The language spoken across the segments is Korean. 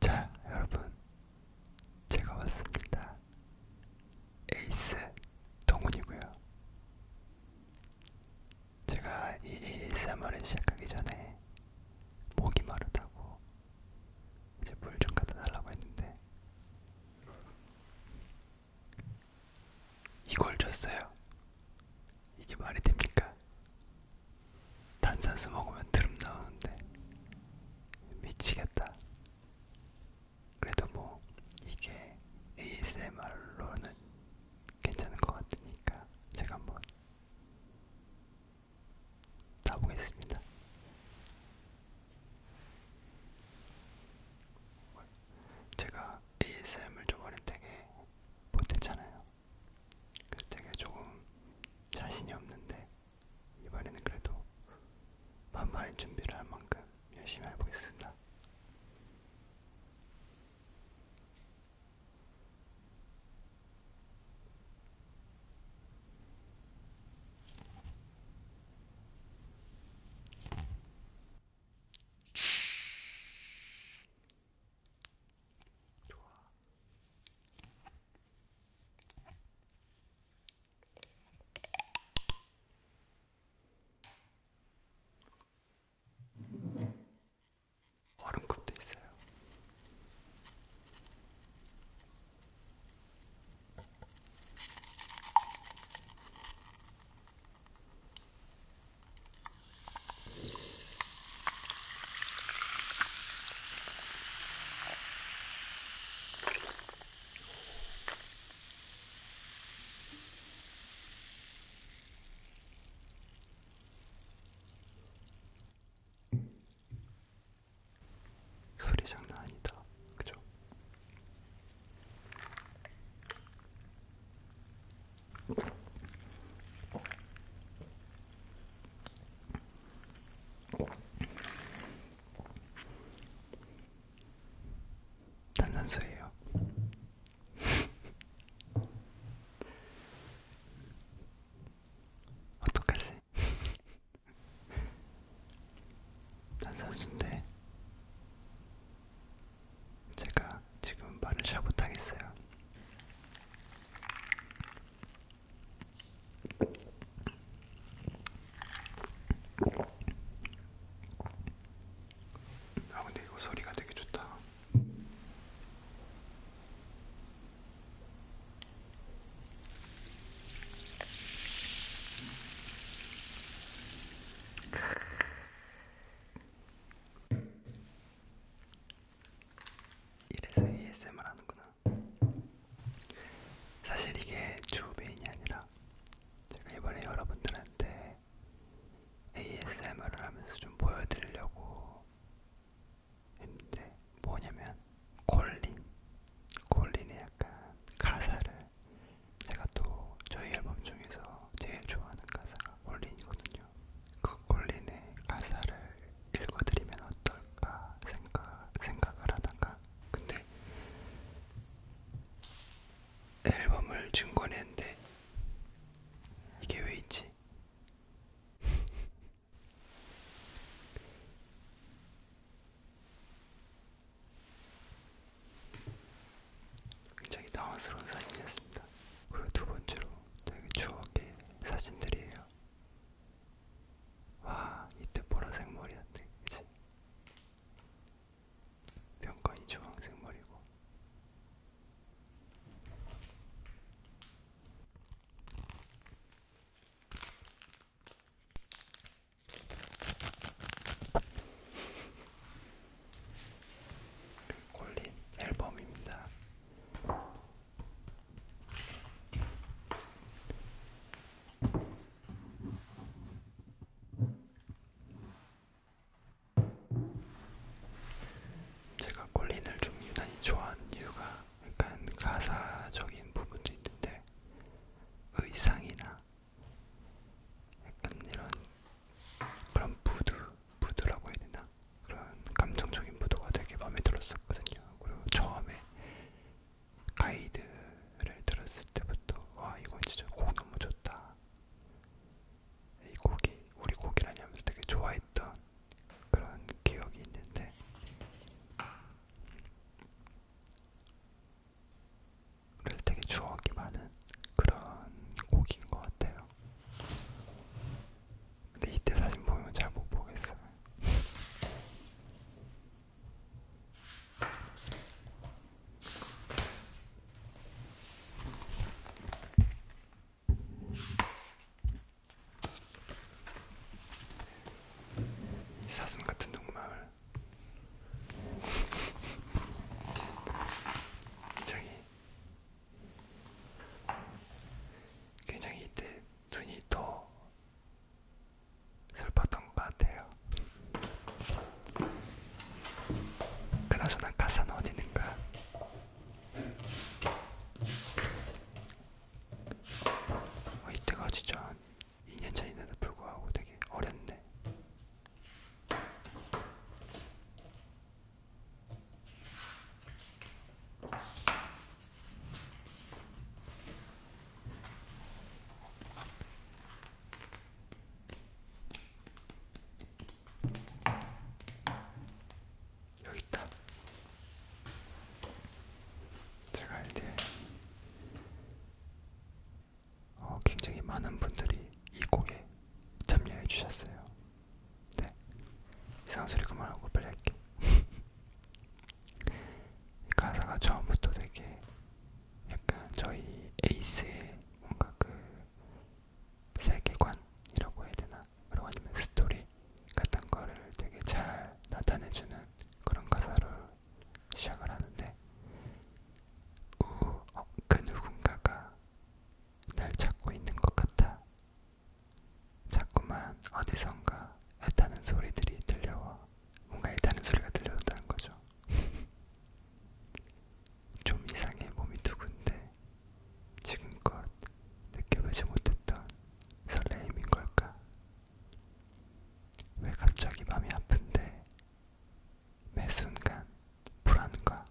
자, 여러분, 제가 왔습니다. 에이스 동훈이고요. 제가 이 ASMR을 시작하기 전에 목이 마르다고 이제 물 좀 갖다 달라고 했는데 이걸 줬어요. 이게 말이 됩니까? 탄산수 먹으면 드름 나오는데 미치겠다. 그래도 뭐 이게 ASMR로는 괜찮은 것 같으니까 제가 한번 따보겠습니다. 제가 제가 ASM을 좀 어릴 때게 못했잖아요. 그래서 되게 조금 자신이 없는데 이번에는 그래도 만만히 준비를 할 만큼 열심히 해보겠습니다. 좋아. 얼음컵도 있어요. 소리 장난 아니다. 그죠? 단산수예요. 어떡하지? 탄산수인데 제가 지금 말을 잘 못하겠어요. 아 근데 이거 소리가 되게 좋다. 이래서 ASMR 하는구나. 사실 이게 주 메인이 아니라 제가 이번에 여러분들한테 ASMR을 하면서 좀 보여드리려고 했는데 뭐냐면 콜린 콜린의 약간 가사를 제가 또 저희 앨범 중에서 제일 좋아하는 가사가 콜린이거든요. 그 콜린의 가사를 읽어드리면 어떨까 생각, 생각을 하다가 근데 앨범을 증권했는데 이게 왜 있지? 굉장히 당황스러운 사진이었습니다. 그리고 두 번째로 되게 추억의 사진들이에요. 와, 이때 보라색 머리였네, 그치? 병관이 주황색 머리고. 콜린 앨범입니다. 제가 콜린을 좀 유난히 좋아하는 이유가 약간 가사적인 부분도 있는데 의상이나 약간 이런 그런 무드, 무드라고 해야 되나? 그런 감정적인 무드가 되게 마음에 들었었거든요. 그리고 처음에 가이드를 들었을 때부터 와 이건 진짜 곡 너무 좋다. 이 곡이 우리 곡이라니 하면서 되게 좋아했던 그런 기억이 있는데 그래서 되게 추억이 많은 그런 곡인 것 같아요. 근데 이때 사진 보면 잘 못 보겠어요. 이 사슴 같은 동물 저기 굉장히 이때 눈이 더 슬펐던 것 같아요. 그나저나 가사는 어디 있는가? 어, 이때가 진짜 한 2년 차인데도 불구하고 되게 어렸네. 여기 있다. 제가 이제 어, 굉장히 많은 분들이 이 곡에 참여해 주셨어요. 네, 이상 소리 그만하고 빨리 할게. 가사가 처음부터 되게 약간 저희 에이스의 뭔가 그 세계관이라고 해야 되나 그리고 아니면 스토리 같은 거를 되게 잘 나타내주는 그런 가사로 시작을 하는데 우, 어, 그 누군가가 날 찾고 있는 것 같아 자꾸만 어디선가 애타는 소리들이 들려와 뭔가 애타는 소리가 들려온다는 거죠 좀 이상해 몸이 두근데 지금껏 느껴보지 못했던 설레임인 걸까? 왜 갑자기 마음이 아픈데 매 순간 불안과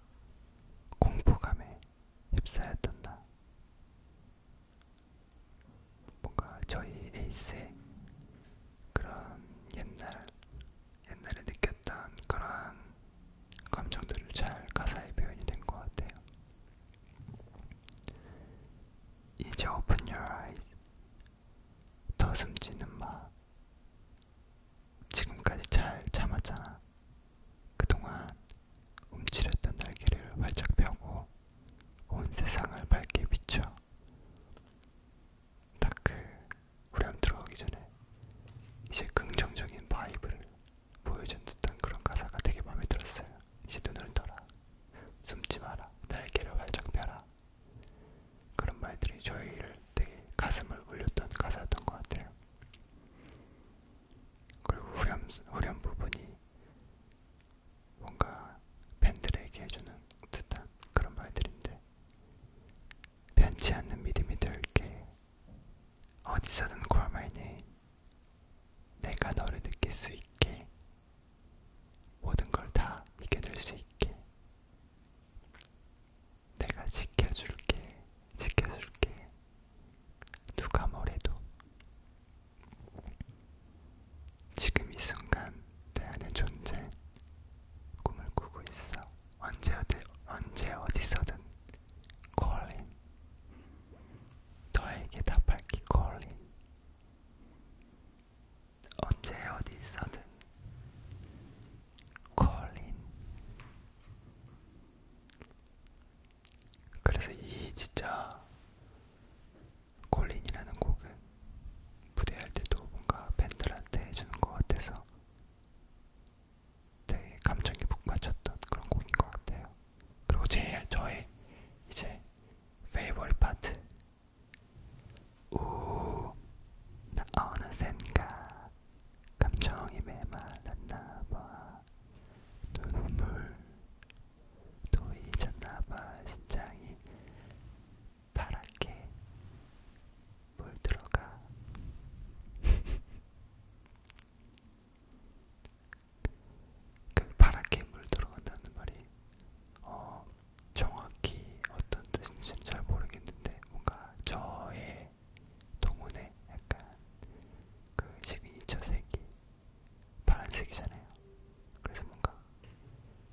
공포감에 휩싸였던 나. 뭔가 저희 에이스의 그런 옛날, 옛날에 느꼈던 그런 감정들을 잘 가사에 표현이 된 것 같아요. 이제 open your eyes. 더 숨지는 마. 지금까지 잘 참았잖아. 그동안 움츠렸던 날개를 활짝 펴고 온 세상을 밝게 비춰. 다크 후렴 들어오기 전에 이제 긍정적인 바이브를 보여준 듯한 그런 가사가 되게 마음에 들었어요. 이제 눈을 떠라, 숨지 마라, 날개를 활짝 펴라. 그런 말들이 저희를 되게 가슴을 울렸던 가사였던 것 같아요. 그리고 후렴, 후렴 부분이 뭔가 팬들에게 해주는 듯한 그런 말들인데 변치 않는 믿음이 될게 어디서든 call my name. 내가 너를 느낄 수 있게. 모든 걸다 이겨낼 수 있게. 내가 지켜줄게, 지켜줄게. 누가 뭐래도. 지금 이 순간 내 안의 존재, 꿈을 꾸고 있어. 언제 어디 언제 어디서든 calling 너에게 답할게 calling 언제 어디서든 calling 그래서 이 진짜 콜린이라는 곡은 무대할 때도 뭔가 팬들한테 해주는 것 같아서 되게 네, 감정이 북받쳤던 그런 곡인 것 같아요. 그리고 제 저의 이제 페이버릿 파트 우 어느샌가 감정이 메말랐나봐 눈물도 잊었나봐 심장이 파랗게 물 들어가. 그 파랗게 물 들어간다는 말이 어, 정확히 어떤 뜻인지는 잘 모르겠는데 뭔가 저의 동문에 약간 그 시그니처 색이 파란색이잖아요. 그래서 뭔가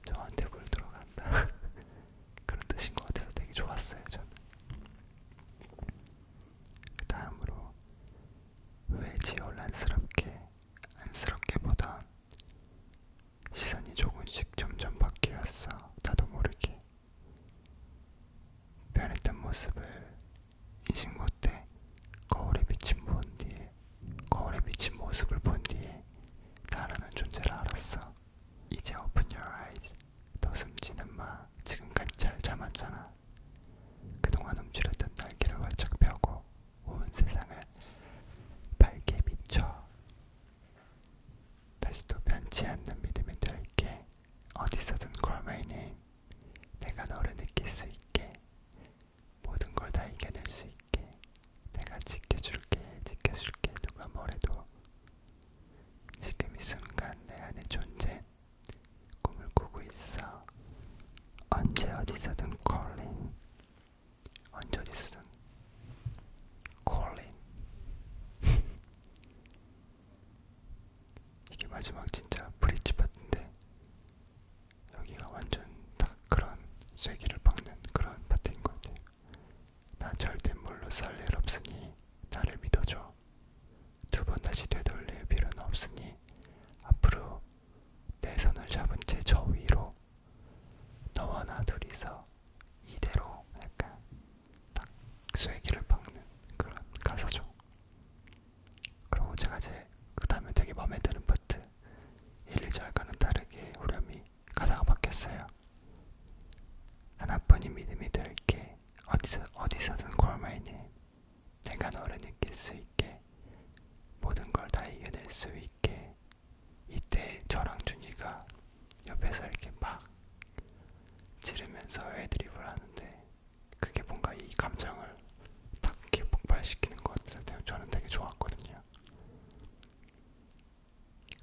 저한테 물 들어간다. 그런 뜻인 것 같아서 되게 좋았어요 저는. 그 다음으로 왜지어란스럽게 안쓰럽게보다 시선이 조금씩 점점 바뀌었어 나도 모르게 변했던 모습을 인식모 때 거울에 비친 본 뒤에 거울에 비친 모습을 본 뒤에 나라는 존재를 알았어 이제 open your eyes 너 숨지는 마 지금까지 잘 참았잖아. 그동안 움츠렸던 날개를 활짝 펴고 온 세상을 밝게 비춰 다시 또 변치 않는 믿음이 될게 어디서든 call my name 내가 너를 느낄 수 있게 모든 걸 다 이겨낼 수 있게 내가 지켜줄게 지켜줄게 누가 뭐래도 지금 이 순간 내 안에 존재 꿈을 꾸고 있어 언제 어디서든 calling 언제 어디서든 calling 이게 마지막 진짜 브릿지 파트인데 여기가 완전 딱 그런 쐐기를 박는 그런 파트인 것 같아요. 나 절대 물로 썰일 없으니 나를 믿어줘. 두 번 다시 되돌릴 필요는 없으니 앞으로 내 손을 잡은 채 저 위로 너와 나 둘이서 이대로 약간 딱 쐐기를 박는 그런 가사죠. 그리고 제가 이제 그 다음에 되게 마음에 드는 파트 1, 2절과는 다르게 후렴이 가사가 바뀌었어요. 하나뿐인 믿음이 될게 어디서, 어디서든 call my name 내가 너를 느낄 수 있게 모든 걸 다 이겨낼 수 있게 이때 저랑 준이가 옆에서 이렇게 막 지르면서 애드립을 하는데 그게 뭔가 이 감정을 딱 이렇게 폭발시키는 것 같아서 저는 되게 좋았거든요.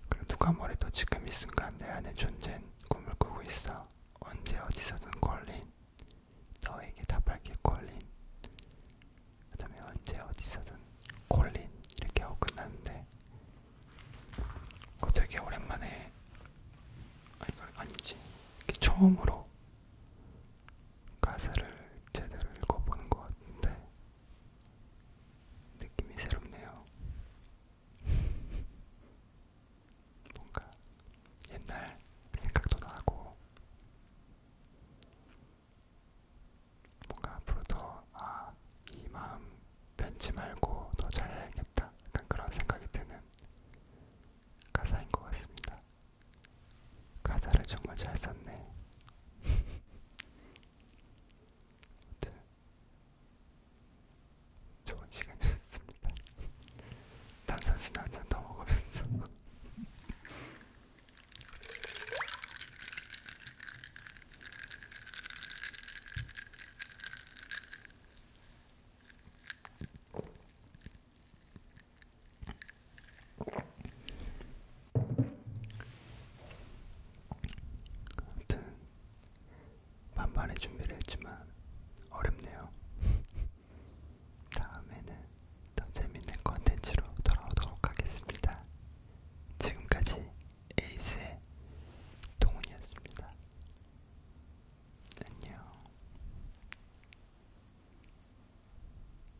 그리고 누가 뭐래도 지금 이 순간 내 안에 존재는 꿈을 꾸고 있어. 언제 어디서든 콜린. 너에게 답할게 콜린. 그 다음에 언제 어디서든 콜린 이렇게 하고 끝났는데 어, 되게 오랜만에 아니, 아니지 이렇게 처음으로 가사를 제대로 읽어보는 것 같은데 느낌이 새롭네요. 뭔가 옛날 생각도 나고 뭔가 앞으로 더아이 마음 변치 말고 더 잘해야겠다 약간 그런 생각이 드는 가사인 것 같습니다. 가사를 정말 잘 썼네. 아무튼 네. 좋은 시간이었습니다. 탄산수는 한잔더 먹으면서 아무튼 반반의 준비를 했지만 어렵네요. 다음에는 더 재밌는 컨텐츠로 돌아오도록 하겠습니다. 지금까지 에이스의 동훈이었습니다. 안녕.